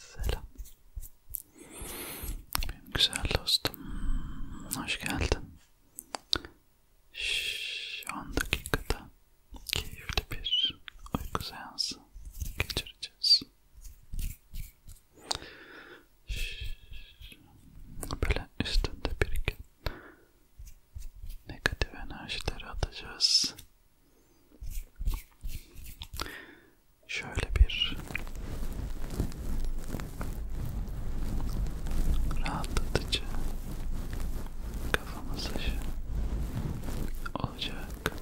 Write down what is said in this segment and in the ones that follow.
Selam. Benim güzel dostum. Hoş geldin. Şu an dakikada keyifli bir uyku seansı geçireceğiz. Böyle üstünde biriken negatif enerjileri atacağız. Şöyle bir rahatlatıcı kafamız aşağı olacak.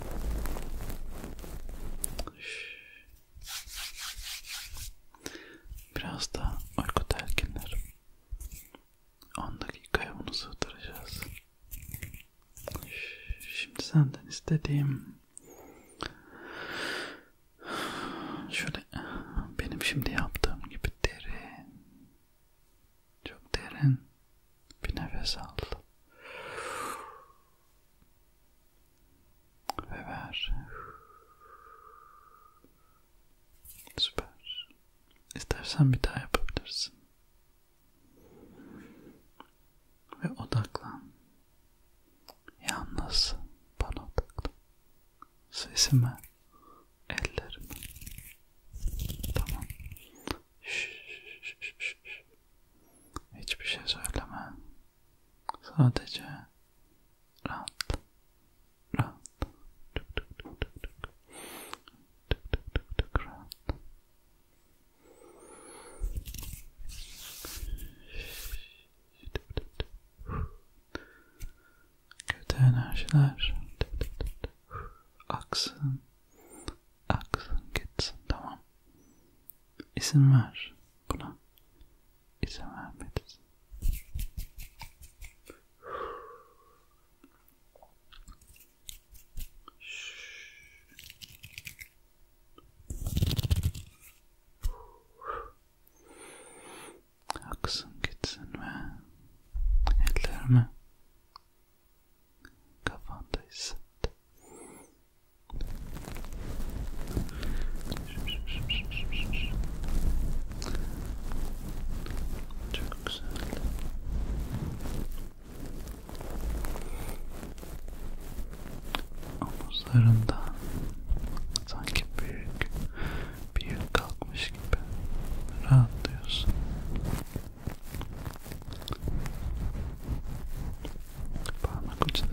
Biraz da uyku telkinleri. 10 dakikaya bunu sığdıracağız. Şimdi senden istediğim şöyle benim şimdi yaptığım gibi derin çok derin bir nefes al. Ve ver. Süper. İstersen bir daha yapabilirsin. Ve odaklan. Yalnız bana odaklan. Sesime ellerim. Tamam. Hiçbir şey söyleme. Sadece rahat, rahat, tık tık tık tık tık, tık tık tık tık rahat. Tık tık tık kötü enerjiler aksın, aksın gitsin tamam. İzin ver buna, izin vermelisin aksın gitsin ve ellerimi kafanda hisset. Çok güzel. Omuzlarından sanki büyük bir yük kalkmış gibi rahatlıyorsun. Parmak uçları,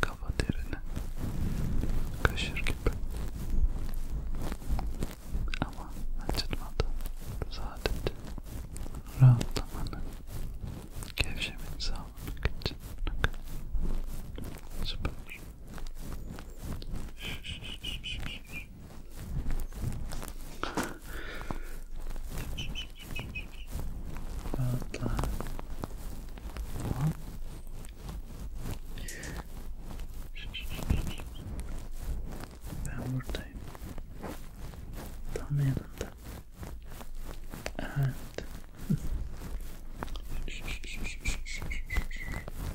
kafa derini kaşır gibi ama acıtmadı sadece rahatlamanı gevşemeni sağlamak için süper Rahatla. Tamam. Ben buradayım. Tam yanında. Evet.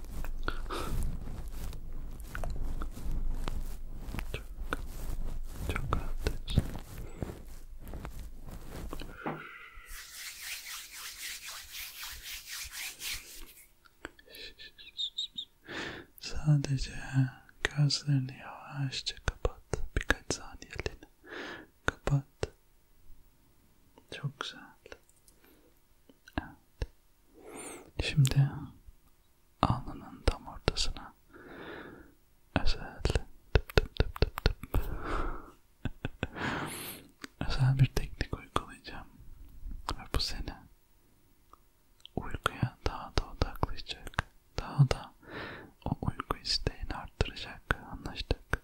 Çok, çok rahatız. Sadece gözlerini yavaşça kapat. Birkaç saniyeliğine. Kapat. Çok güzel. Evet. Şimdi alnının tam ortasına özel tıp tıp tıp tıp tıp özel bir teknik uygulayacağım ve bu seni uykuya daha da odaklayacak, daha da o uyku isteğini arttıracak. Anlaştık.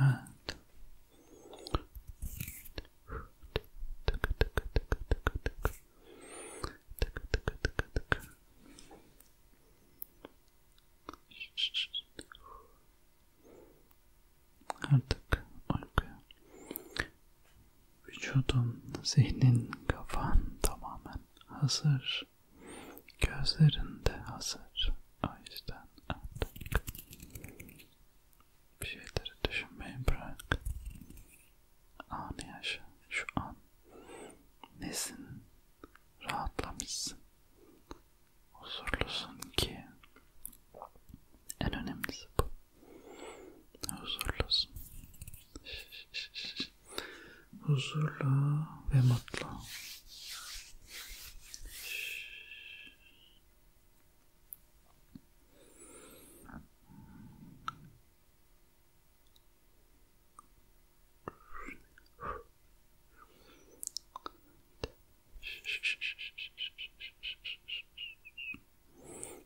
Evet. Tık tık tık tık tık tık. Tık tık tık tık. Artık uykuya. Vücudun, zihnin, kafan tamamen hazır. Gözlerinde hazır. O yüzden artık bir şeyleri düşünmeyi bırak. Anı yaşa. Şu an nesin? Rahatlamışsın. Huzurlusun ki en önemlisi bu. Huzurlusun. Şş, şş, şş huzurlu ve mutlu.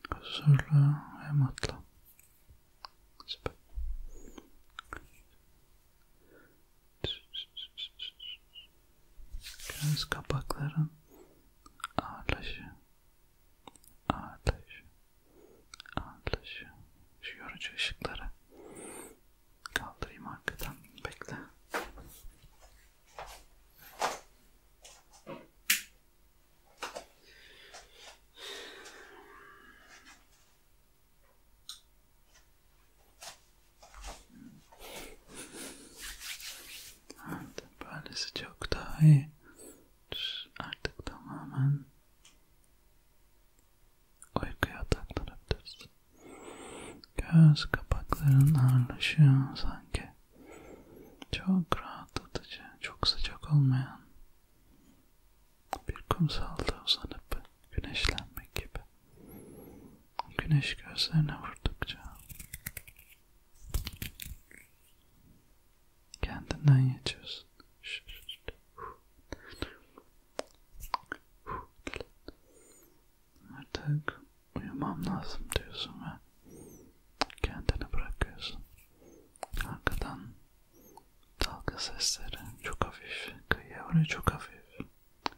Huzurlu ve mutlu. Süper. Göz kapakların ağırlaşı, ağırlaşı, ağırlaşı. Şu yorucu ışıkları kaldırayım arkadan. Bekle. Evet, böylesi çok daha iyi. Artık tamamen uykuya taklanabiliriz. Göz kapakların ağırlaşıyor sanki. Çok rahatlatıcı, çok sıcak olmayan bir kumsalda uzanıp güneşlenmek gibi. Güneş gözlerine vurdukça kendinden geçiyorsun. Artık uyumam lazım diyorsun ve kendini bırakıyorsun. Arkadan dalga sesleri çok hafif, kıyıya oraya çok hafif,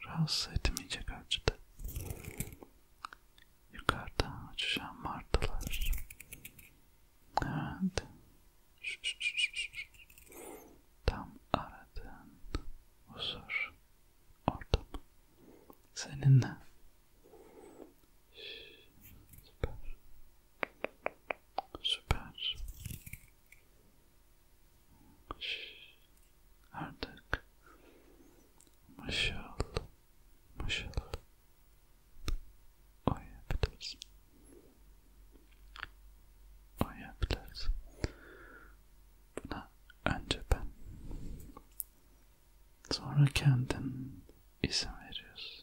rahatsız etmeyecek ölçüde. Yukarıda uçuşan martılar. Evet. Tam aradığın huzur ortam. Seninle. Süper. Süper. Artık maşallah, maşallah oyabilirsin. Oyabilirsin. Buna önce ben, sonra kendin izin veriyorsun.